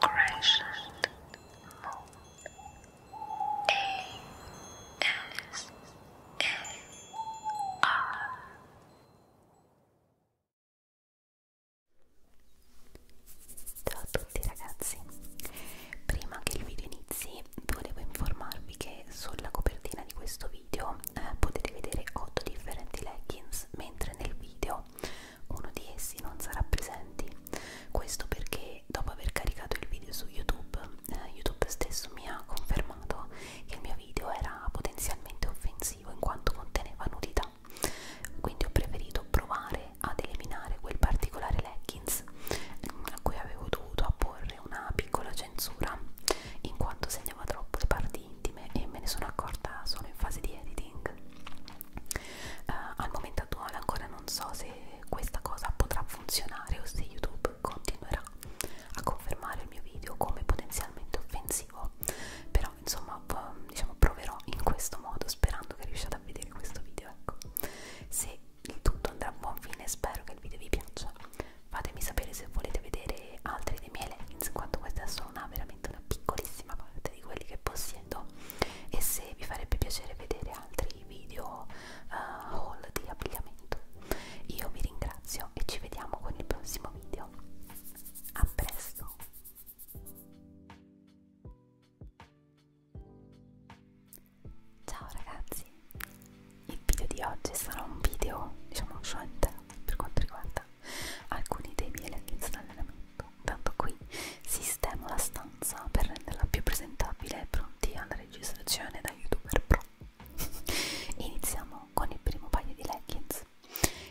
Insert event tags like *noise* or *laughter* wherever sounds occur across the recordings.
Crescent Moon A S A R Ciao a tutti ragazzi, prima che il video inizi volevo informarvi che sulla copertina di questo video eh, potete vedere 8 differenti leggings mentre nel video uno di essi non sarà presente. Questo perché dopo aver caricato il video su YouTube, eh, YouTube stesso mi ha confermato che il mio video era potenzialmente offensivo in quanto conteneva nudità. Quindi ho preferito provare ad eliminare quel particolare leggings mm, a cui avevo dovuto apporre una piccola censura in quanto segnava troppo le parti intime e me ne sono accorta solo in fase di editing. Uh, al momento attuale ancora non so se questa cosa potrà funzionare o se YouTube continuerà a confermare il mio video come potenzialmente offensivo, però insomma diciamo proverò in questo modo sperando che riusciate a vedere questo video. Ecco. Se il tutto andrà a buon fine spero che il video vi piaccia. Fatemi sapere se volete vedere altri dei miei leggings, in quanto questa è solo una vera veramente una piccolissima parte di quelli che possiedo e se vi farebbe piacere vedere altri video uh, haul di abbigliamento io vi ringrazio e ci vediamo con il prossimo video a presto ciao ragazzi il video di oggi sarà un video diciamo short per quanto riguarda alcuni dei miei leggings d'allenamento, tanto qui sistemo la stanza per renderla più presentabile e pronti alla registrazione da youtuber pro. *laughs* Iniziamo con il primo paio di leggings.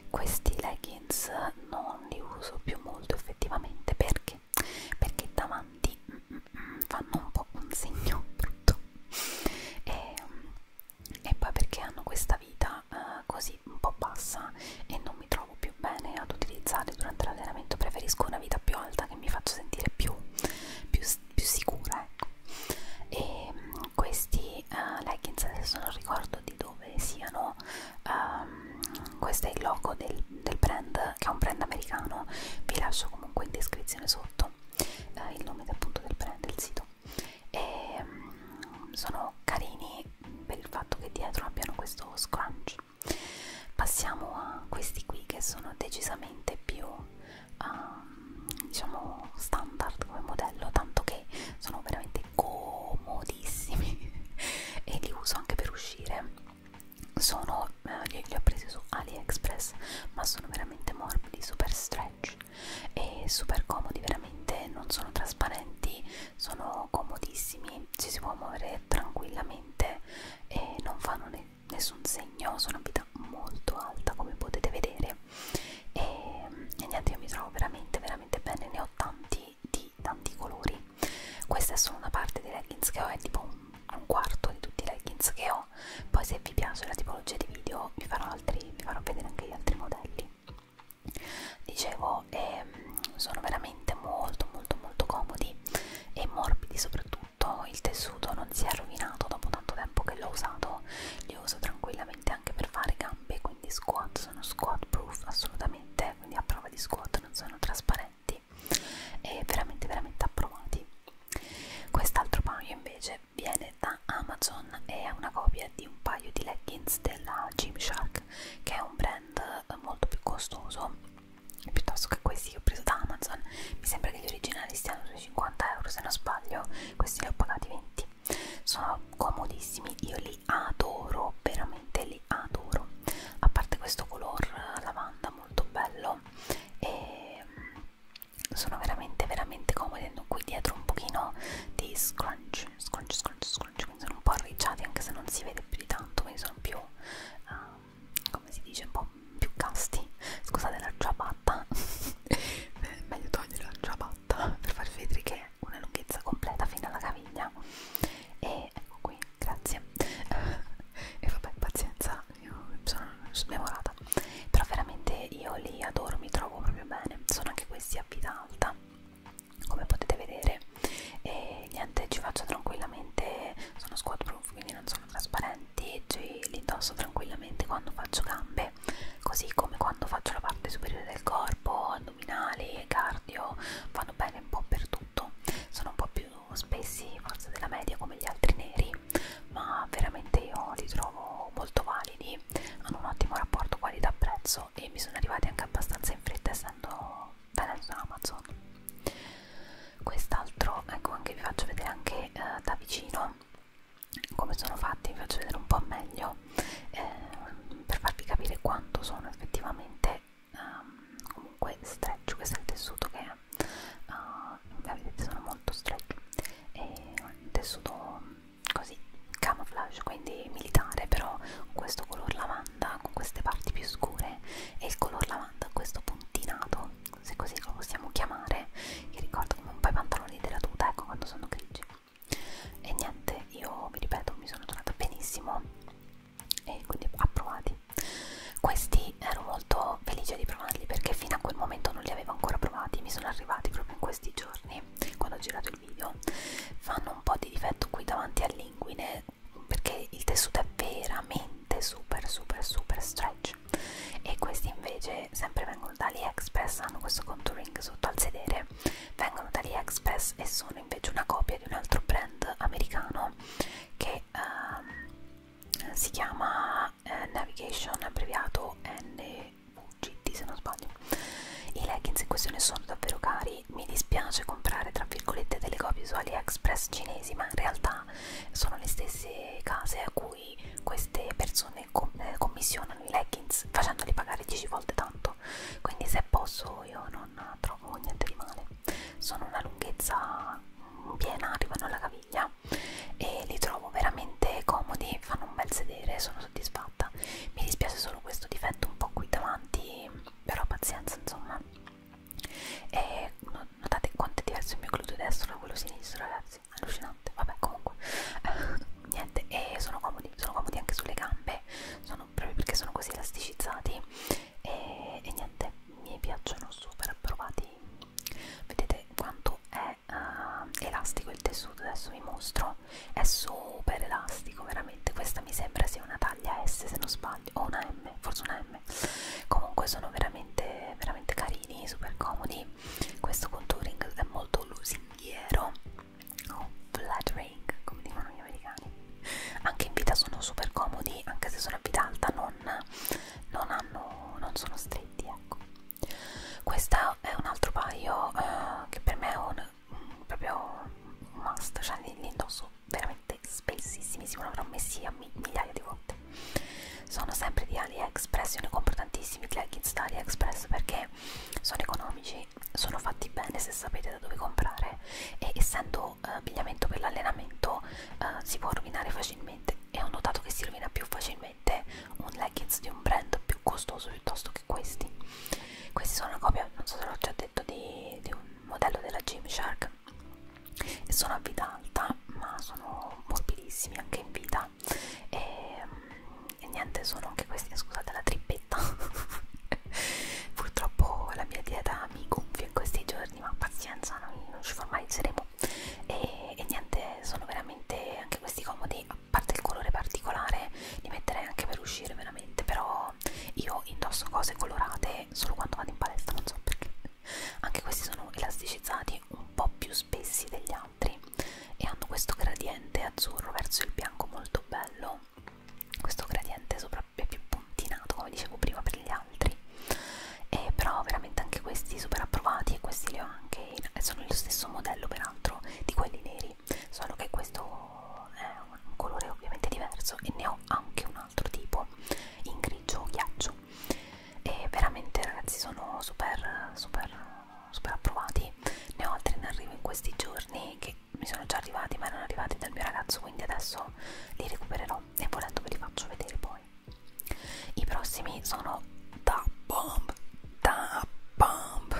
Questi leggings non li uso più molto effettivamente perché perché davanti mm, mm, mm fanno un po' un segno *laughs* brutto e um, e poi perché hanno questa vita eh, così un po' bassa e non mi trovo più bene ad utilizzarli durante l'allenamento preferisco una vita più alta che mi faccia sentire più, più, più sicura ecco e mh, mm, questi uh, leggings adesso non ricordo di dove siano um, questo è il logo del, del brand che è un brand americano vi lascio comunque in descrizione sotto uh, il nome appunto del brand del sito e mm, sono carini per il fatto che dietro abbiano questo scrunch passiamo a questi qui che sono decisamente più um, diciamo standard come modello tanto che sono veramente comodissimi *laughs* e li uso anche per uscire sono, eh, li, li ho presi su AliExpress ma sono veramente morbidi, super stretch e super comodi, veramente non sono trasparenti sono comodissimi, ci si può muovere tranquillamente e non fanno ne nessun segno, sono a vita molto alta come potete vedere e, e niente io mi trovo veramente veramente bene, ne ho tanti di tanti colori, questa è solo una parte dei leggings che ho, è tipo un, un quarto di tutti i leggings che ho, poi se vi piace la tipologia di video vi farò, altri, vi farò vedere anche gli altri modelli dicevo ehm, sono veramente molto molto molto comodi e morbidi soprattutto il tessuto non si è rovinato dopo tanto tempo che l'ho usato li uso tranquillamente anche per fare gambe quindi squat sono squat proof assolutamente quindi a prova di squat non sono trasparenti e veramente veramente approvati quest'altro paio invece viene da Amazon e è una copia di un paio di leggings della Gymshark che è un brand molto più costoso piuttosto che questi che ho preso da Amazon mi sembra che gli originali stiano sui 50 euro se non sbaglio questi li ho pagati 20 sono comodissimi io li adoro veramente li adoro a parte questo color lavanda molto bello e mm, sono veramente veramente comodi qui dietro un pochino di scrunch scrunch scrunch muscoli cioè, quindi sono un po' arricciati anche se non si vede più di tanto quindi sono più uh, come si dice un po' più casti scusate la ciabatta è *laughs* meglio togliere la ciabatta per far vedere che è una lunghezza completa fino alla caviglia e ecco qui grazie *laughs* e vabbè pazienza io sono smemorata però veramente io li adoro mi trovo proprio bene sono anche questi a vita alta come potete vedere e niente ci faccio tranquillamente sono squat proof quindi non sono trasparenti ci li indosso tranquillamente quando faccio gambe così come quando faccio la parte superiore del corpo addominali cardio vanno bene un po' per tutto sono un po' più spessi forse della media come gli altri neri ma veramente io li trovo molto validi hanno un ottimo rapporto qualità prezzo prezzo e mi sono arrivati anche abbastanza in fretta essendo venendo da Amazon quest'altro ecco anche vi faccio vedere anche eh, da vicino come sono fatti vi faccio vedere un po' meglio eh, per farvi capire quanto sono effettivamente um, comunque stretch questo è il tessuto che uh, vedete sono molto stretch è un tessuto così camouflage quindi militare però con questo color lavanda con queste parti più scure e il color lavanda questo puntinato se così lo possiamo chiamare che ricorda come un po' i pantaloni della tuta ecco quando sono grigi e niente io vi ripeto mi sono trovata benissimo e quindi approvati questi ero molto felice di provarli perché fino a quel momento non li avevo ancora provati mi sono arrivati proprio in questi giorni quando ho girato il video fanno un po' di difetto qui davanti all'inguine perché il tessuto è veramente super super super stretch e questi invece sempre vengono da AliExpress hanno questo contouring sotto al sedere vengono da AliExpress e sono invece una copia di un altro brand americano che um, si chiama eh, Navigation abbreviato N VGT se non sbaglio i leggings in questione sono davvero cari mi dispiace comprare tra virgolette delle copie su AliExpress cinesi ma in realtà sono le stesse case a cui queste persone com eh, commissionano i leggings facendoli pagare 10 volte tanto quindi se posso io non trovo niente di male sono una lunghezza piena arrivano alla caviglia e li trovo veramente comodi fanno un bel sedere sono soddisfatta vita mi dispiace solo questo difetto un po' qui davanti però pazienza insomma e notate quanto è diverso il mio gluteo destro da quello sinistro ragazzi allucinante vabbè comunque *laughs* niente e sono comodi sono comodi anche sulle gambe sono proprio perché sono così elasticizzati e, e niente mi piacciono super approvati vedete quanto è uh, elastico il tessuto adesso vi mostro è super elastico veramente questa mi sembra sia una taglia S se non sbaglio o una M forse una M comunque sono veramente veramente carini super comodi questo contouring è molto lusinghiero o oh, flattering come dicono gli americani anche in vita sono super comodi anche se sono a vita alta non, non hanno non sono stretti ecco questo è un altro paio eh, che per me è un proprio un must, cioè li, li indosso veramente spessissimi, sicuro avrò messi a mi, migliaia di volte. Sono sempre di AliExpress, io ne compro tantissimi leggings da AliExpress perché sono economici, sono fatti bene se sapete da dove comprare e essendo eh, abbigliamento per l'allenamento eh, si può rovinare facilmente e ho notato che si rovina più facilmente un leggings di un brand più costoso piuttosto che questi questi sono una copia, non so se l'ho già detto, di, di un modello della Gymshark e sono a vita alta ma sono morbidissimi anche in vita e, e niente sono anche questi, scusate la trippetta *laughs* purtroppo la mia dieta mi gonfia in questi giorni ma pazienza, non, non ci formalizzeremo e, e niente sono veramente anche questi comodi parte il colore particolare li metterei anche per uscire veramente però io indosso cose colorate solo quando vado in palestra non so perché anche questi sono elasticizzati un po' più spessi degli altri e hanno questo gradiente azzurro verso il bianco molto bello questo gradiente sopra è più puntinato come dicevo prima per gli altri e però veramente anche questi super approvati e questi li ho anche in, sono lo stesso modello peraltro di quelli neri così solo che questo è un colore ovviamente diverso e ne ho anche un altro tipo in grigio o ghiaccio e veramente ragazzi sono super super super approvati ne ho altri in arrivo in questi giorni che mi sono già arrivati ma erano arrivati dal mio ragazzo quindi adesso li recupererò e volendo ve li faccio vedere poi i prossimi sono da bomb Pump.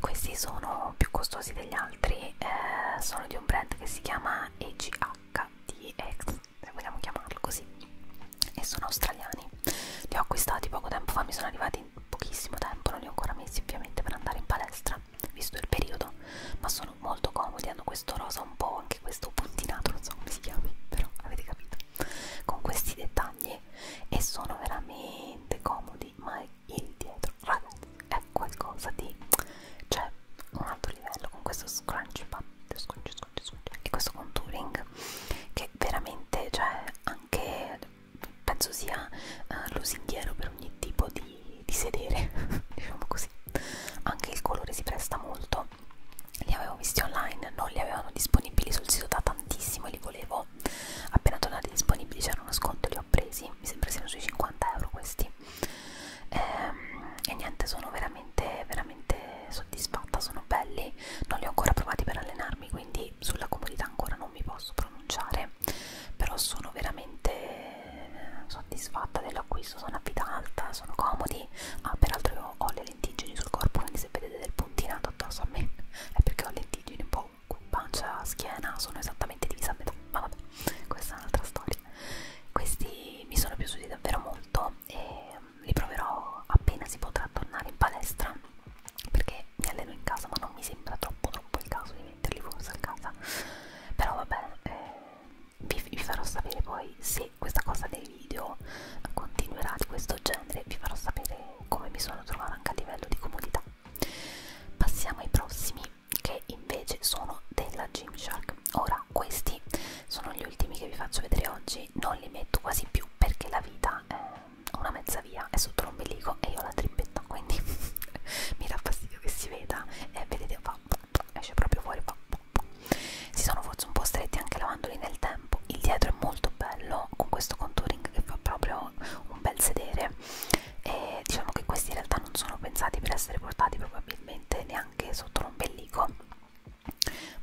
Questi sono più costosi degli altri, eh, sono di un brand che si chiama EGHDX, se vogliamo chiamarlo così, e sono australiani. Li ho acquistati poco tempo fa, mi sono arrivati in pochissimo tempo, non li ho ancora messi ovviamente per andare in palestra, visto il periodo, ma sono molto comodi, hanno questo rosa un po', anche questo puntinato, non so come si chiami, però avete capito, con questi dettagli e sono veramente comodi, ma è indietro ragazzi è qualcosa di cioè un altro livello con questo scrunch pad scrunch, scrunch, scrunch, e questo contouring che veramente cioè anche penso sia uh, lusinghiero per ogni tipo di, di sedere *laughs* diciamo così anche il colore si presta molto li avevo visti online non li avevano disponibili sul sito da tantissimo li volevo appena tornati disponibili c'erano sconto li ho presi mi sembra siano sui 50 euro questi e, ehm, e niente sono veramente veramente soddisfatta sono belli non li ho ancora provati per allenarmi quindi sulla comodità ancora non mi posso pronunciare però sono veramente soddisfatta dell'acquisto sono a vita alta sono comodi ah, peraltro io ho le lentiggini sul corpo quindi se vedete del puntinato addosso a me *laughs* è perché ho lentiggini un po' tipo pancia, schiena sono esattamente divisa a metà, ma vabbè, questa è un'altra storia. Questi mi sono piaciuti davvero molto e mm, li proverò appena si potrà tornare in palestra perché mi alleno in casa, ma non mi sembra troppo troppo il caso di metterli forse a casa. Però vabbè, eh, vi, vi farò sapere poi se questa cosa dei video continuerà di questo genere, vi farò sapere come mi sono trovata anche a livello di comodità. Passiamo ai prossimi che invece sono della Gymshark. Ora questi sono gli ultimi che vi faccio vedere oggi, non li metto quasi più perché la vita è una mezza via, è sotto l'ombelico e io ho la trippetta, quindi *laughs* mi dà fastidio che si veda e eh, vedete va, esce proprio fuori. Va, si sono forse un po' stretti anche lavandoli nel tempo, il dietro è molto bello con questo contouring che fa proprio un bel sedere e diciamo che questi in realtà non sono pensati per essere portati probabilmente neanche sotto l'ombelico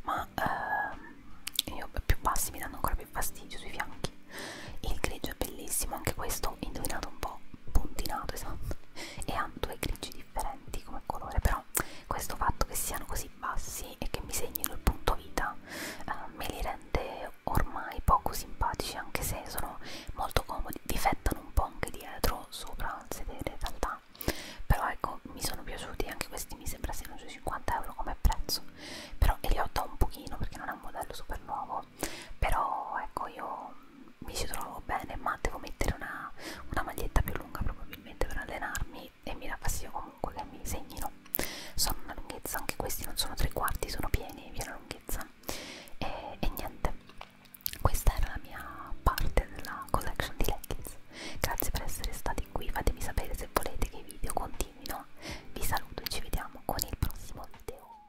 ma ehm, io più bassi mi danno ancora più fastidio sui fianchi il grigio è bellissimo anche questo indovinato un po' puntinato esatto e hanno due grigi differenti come colore però questo fatto che siano così bassi e che mi segnino il punto vita eh, me li rende e ormai poco simpatici anche se sono molto comodi difettano un po' anche dietro sopra al sedere in realtà però ecco mi sono piaciuti anche questi mi sembra siano sui 50 euro come prezzo però e li ho da un pochino perché non è un modello super nuovo però ecco io mi ci trovo bene ma devo mettere una, una maglietta più lunga probabilmente per allenarmi e mi dà fastidio comunque che mi segnino sono una lunghezza anche questi non sono tre quarti sono pieni viene lunghezza lunghezza e, e niente questa era la mia parte della collection di leggings grazie per essere stati qui fatemi sapere se volete che i video continuino vi saluto e ci vediamo con il prossimo video